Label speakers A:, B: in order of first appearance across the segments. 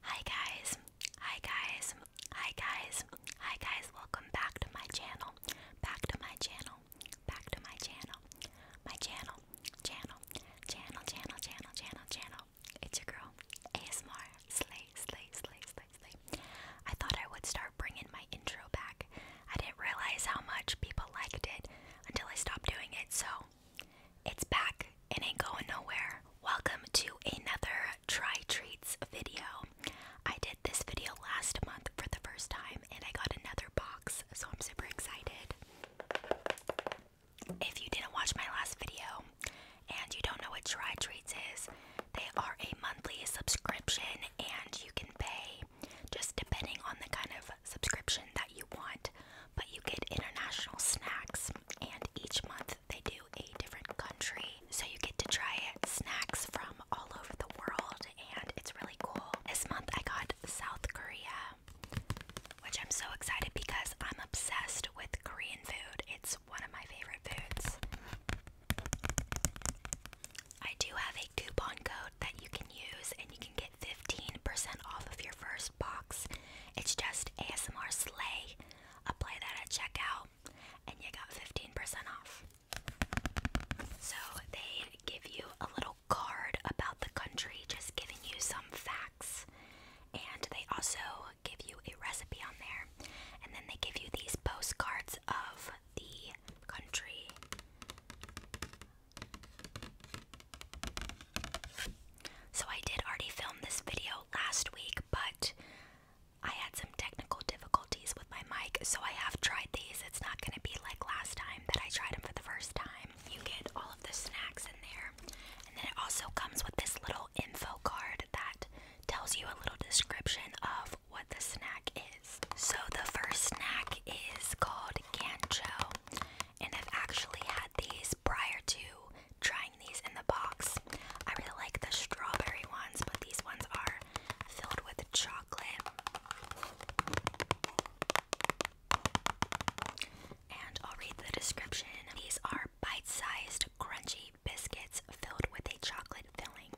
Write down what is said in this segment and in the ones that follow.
A: Hi guys, hi guys, hi guys, hi guys, welcome back to my channel, back to my channel, back to my channel, my channel, channel, channel, channel, channel, channel, channel. It's your girl, ASMR, slay, slay, slay, slay, slay. I thought I would start bringing my intro back. I didn't realize how much people liked it until I stopped doing it, so it's back. It ain't going nowhere. Welcome to another Try Treats video. I did this video last month for the first time and I got another box, so I'm super excited. If you didn't watch my last video and you don't know what Try Treats is, they are a monthly subscription and you can pay just depending on the kind of subscription that you want, but you get international snacks and each month they do a different country. So you get to try it. Snacks from all over the world, and it's really cool. This month I got South Korea, which I'm so excited because I'm obsessed with Korean food. It's one of my favorite foods. I do have a coupon code that you can use, and you can get 15% off of your first box. It's just ASMR sleigh. Apply that at checkout, and you got 15% off. So they give you a little card about the country, just giving you some facts. And they also give you a recipe on there. And then they give you these postcards of the country. So I did already film this video last week, but I had some technical difficulties with my mic, so I have tried these. It's not going to be like last time that I tried them for the first time. You get all of the snacks in there, and then it also comes with this little info card that tells you a little description of what the snack is. So the first snack is called Gancho, and I've actually had these prior to trying these in the box. I really like the strawberry ones, but these ones are filled with chocolate. And I'll read the description. These are bite-sized, crunchy biscuits filled with a chocolate filling.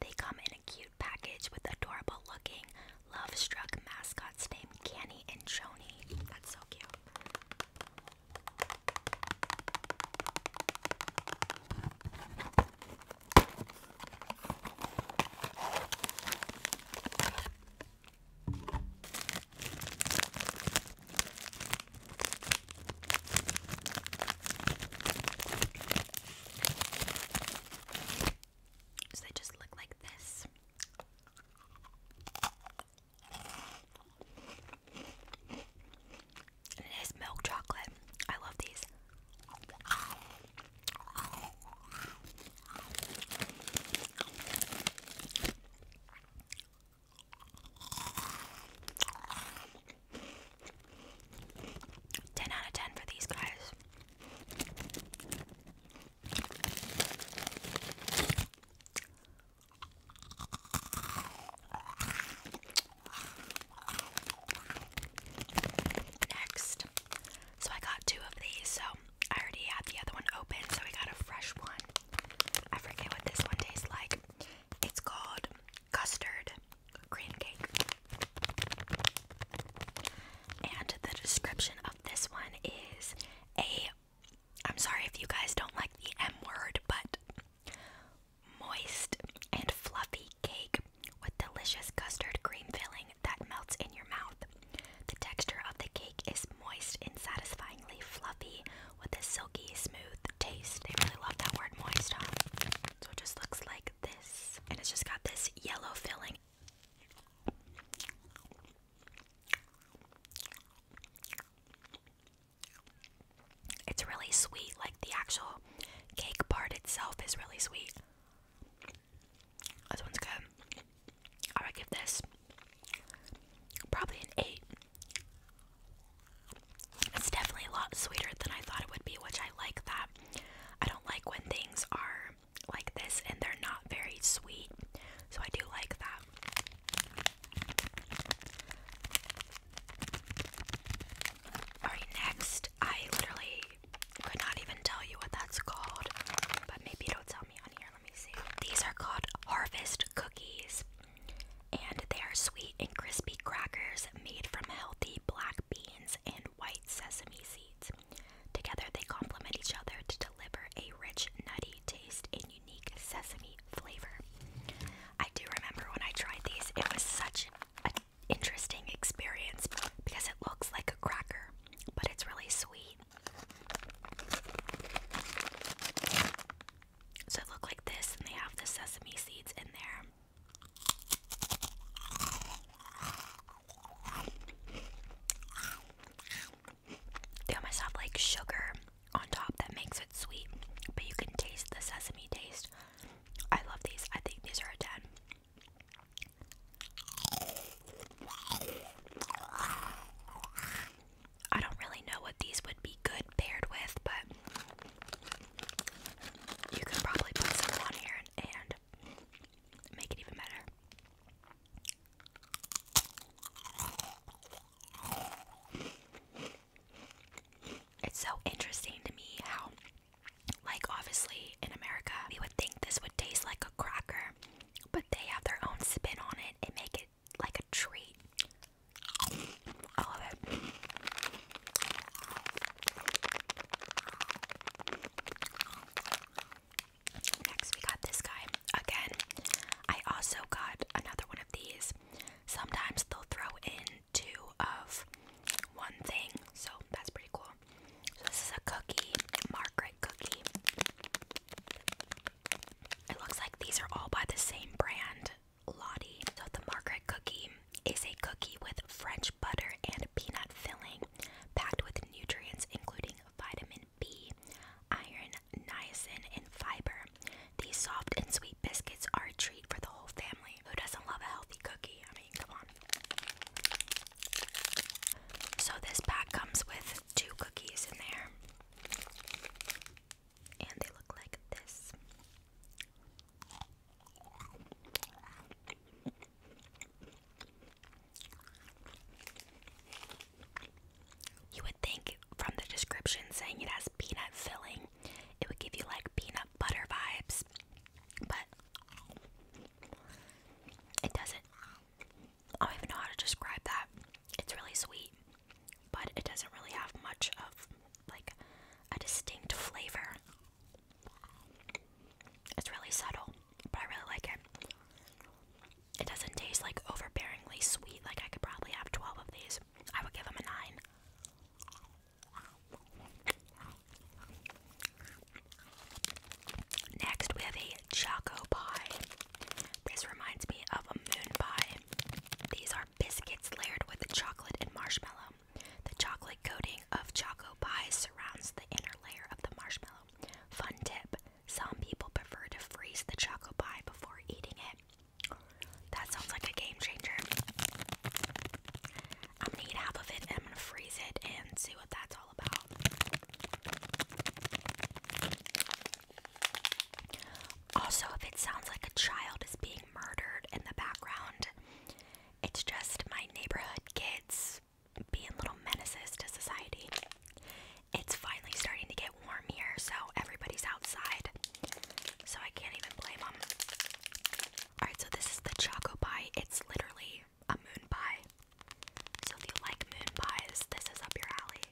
A: They come in a cute package with adorable-looking, love-struck mascots named Canny and Joni. That's so cute. So they just look like this it is milk chocolate. I love these. Ten out of ten for these guys. Next, so I got two of these. So I already had the other one open, so we got a fresh one. I forget what this one tastes like. It's called custard cream cake. And the description of this one is a I'm sorry if you guys don't like the M word, but moist and fluffy cake with delicious custard cream filling that melts in your mouth. The texture of the cake is moist and satisfyingly fluffy with a silky, smooth taste. They really love that word moist, So it just looks like this, and it's just got this yellow filling. It's really sweet, like the actual cake part itself is really sweet. This one's good. I would this probably an 8. It's definitely a lot sweeter than I thought it would be, which I like that. I don't like when things are like this and they're not very sweet, so I do like that. Alright, next. I literally could not even tell you what that's called, but maybe it'll tell me on here. Let me see. These are called Harvest Cookies, and they are sweet and crispy crackers made from healthy black beans and white sesame seeds. Together, they complement each other to deliver a rich, nutty taste in unique sesame flavor. I do remember when I tried these, it was such an interesting experience because it looks like a cracker, but it's really sweet. So it look like this, and they have the sesame seeds in there. They almost have like sugar on top that makes it sweet, but you can taste the sesame taste. I love these. I think these are a 10. I don't really know what these would be good paired with, but you could probably put some on here and, make it even better. It's so interesting to me how, like, obviously in America, we would think this would taste like a cracker, but they have their own spin on it and make it like a treat. I love it. Next, we got this guy again. I also got another one of these. Sometimes they'll throw in two of one thing, so that's pretty cool. this is a cookie, Margaret cookie. It looks like these are all by the same brand, Lottie. So the Margaret cookie is a cookie with French butter and peanut filling, packed with nutrients including vitamin B, iron, niacin, and fiber. These soft and sweet biscuits are a treat for the whole family. Who doesn't love a healthy cookie? I mean, come on. So, this pack comes with two cookies in there, and they look like this. You would think from the description saying it has peanut filling it would give you like peanut butter vibes, but it doesn't. I don't even know how to describe that. It's really sweet, but it doesn't really have much of like a distinct flavor. It's really subtle, but I really like it. It doesn't taste like overbearingly sweet, like I could probably have 12 of these. I would give him a 9. Next, we have a Choco Pie. This reminds me of a moon pie. These are biscuits layered with chocolate and marshmallow. The chocolate coating of Choco Pie surrounds the inner layer of the marshmallow. Fun tip some people prefer to freeze the Choco Pie before eating it. That sounds like a game changer. I'm gonna eat half of it and I'm gonna freeze it and see what that's all about. Also, if it sounds like a child is being murdered in the background, it's just my neighborhood kids being little menaces to society. It's finally starting to get warm here, so everybody's outside. So I can't even blame them. Alright, so this is the Choco Pie. It's literally a moon pie. So if you like moon pies, this is up your alley.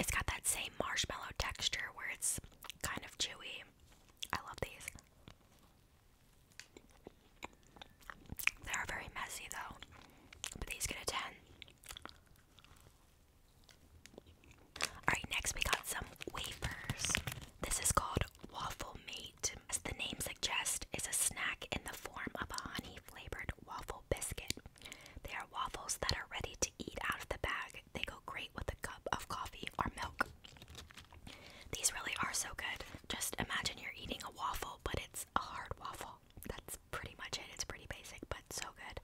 A: It's got that same marshmallow texture where it's kind of chewy. I love these. They are very messy though, but these get a 10. Alright, next we got some wafers. This is called Waffle Mate. As the name suggests, is a snack in the form of a honey-flavored waffle biscuit. They are waffles that are ready to eat out of the bag. They go great with a cup of coffee or milk. These really are so good just imagine you're eating a waffle, but it's a hard waffle. That's pretty much it. It's pretty basic, but so good.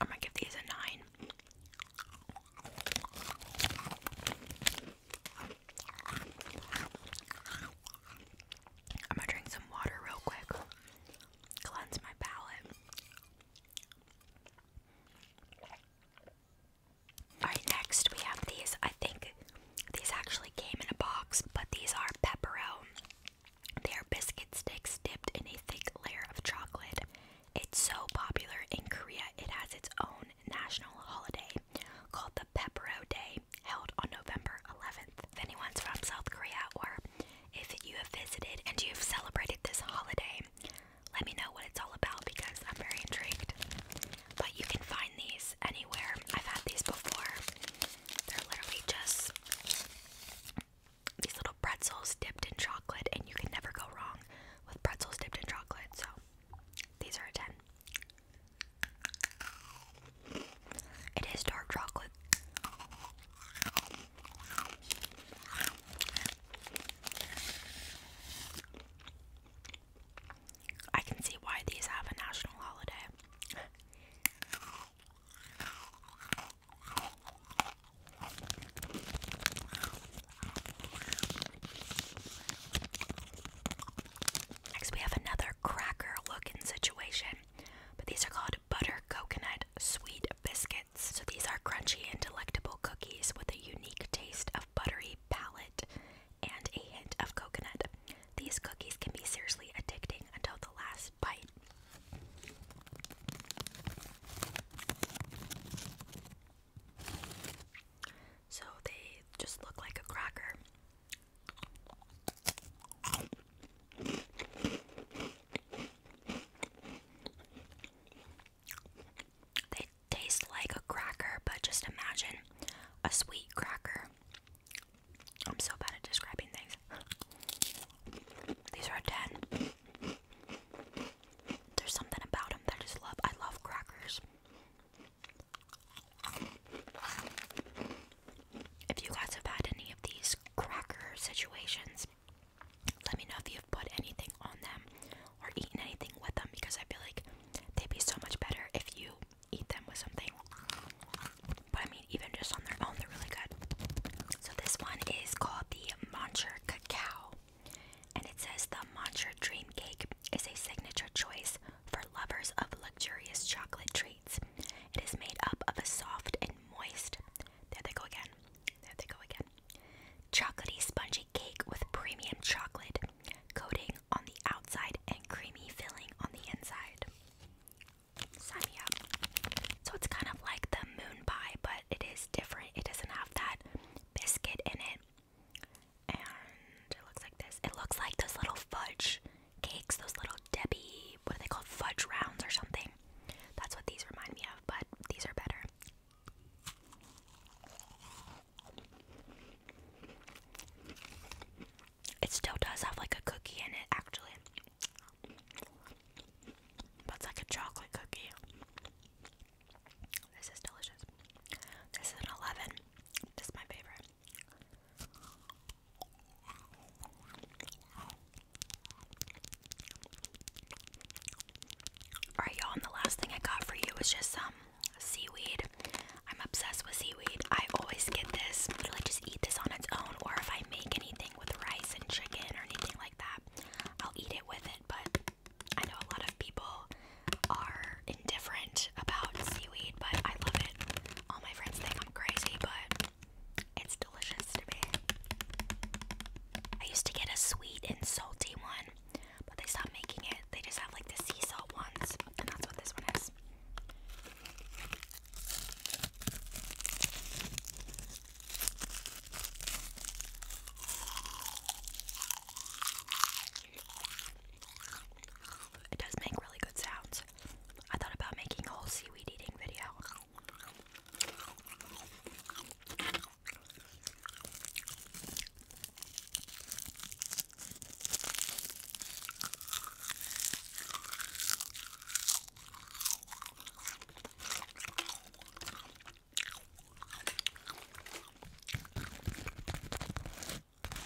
A: I'm gonna give these a nine. I'm gonna drink some water real quick. Cleanse my palate. Alright, next we have these. I think these actually came in a box, but these are pepperell. They are biscuit sticks dipped in a thick layer of chocolate. It's so popular in Korea, it has its own national holiday called the Pepero Day held on November 11th. If anyone's from South Korea or if you have visited and you have celebrated this holiday, let me know what it's all about because I'm very intrigued. But you can find these anywhere. I've had these before. They're literally just these little pretzels dipped in chocolate, and you can never go wrong with pretzels dipped in chocolate. So these are a 10. It is dark chocolate. I can see why these have a national holiday. Next, we have another cracker looking situation, but these are called butter coconut sweet biscuits. So, these are crunchy and delectable cookies with a unique taste of buttery palate and a hint of coconut. These cookies can be seriously addicting until the last bite. So, they just look like a cracker, they taste like a cracker, but just imagine a sweet cracker. I'm so bad at describing things. These are 10. There's something about them that I just love. I love crackers. If you guys have had any of these cracker situations, let me know if you've put anything on them or eaten anything with them because I feel like they'd be so much better if you eat them with something. But I mean, even just on their own, they're really good. So this one is called the Moncher Cacao, and it says the Moncher Dream Cake is a signature choice for lovers of luxurious chocolate treats. It is made up of a soft and moist, there they go again, there they go again, chocolatey spongy cake with premium chocolate coating on the outside and creamy filling on the inside. Sign me up. So it's kind of like the moon pie, but it is different. It doesn't have that biscuit in it and it looks like this. It looks like those little fudge cakes, those little Debbie, what are they called? Fudge rounds or something. That's what these remind me of, but these are better. It still does have like a cookie in it, actually. But it's like a chocolate cookie. This is delicious. This is an 11. This is my favorite. Alright, y'all, and the last thing I got for you was just some um, seaweed. I'm obsessed with seaweed. I always get this. I just eat this on its own, or if I make anything with rice and chicken or anything like that, I'll eat it with it. But I know a lot of people are indifferent about seaweed, but I love it. All my friends think I'm crazy, but it's delicious to me. I used to get a sweet and salty one, but they stopped making it. They just have like the sea salt ones, and that's what this one is. It does make really good sounds. I thought about making a whole seaweed eating video. It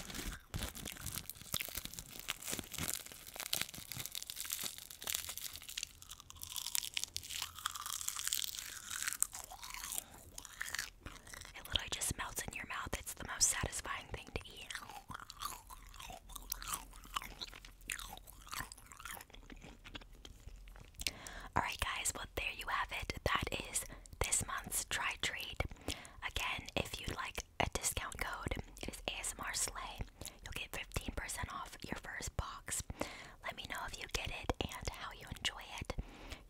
A: literally just melts in your mouth. It's the most satisfying thing to eat. Alright, guys, well, there you have it. That is this month's try treat. Again, if you'd like a discount code. It is ASMR Slay. You'll get 15% off your first box. Let me know if you get it and how you enjoy it.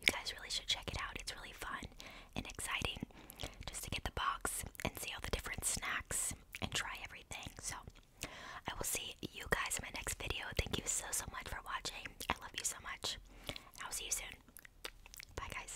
A: You guys really should check it out. It's really fun and exciting just to get the box and see all the different snacks and try everything. So, I will see you guys in my next video. Thank you so, so much for watching. I love you so much. I'll see you soon. Bye, guys.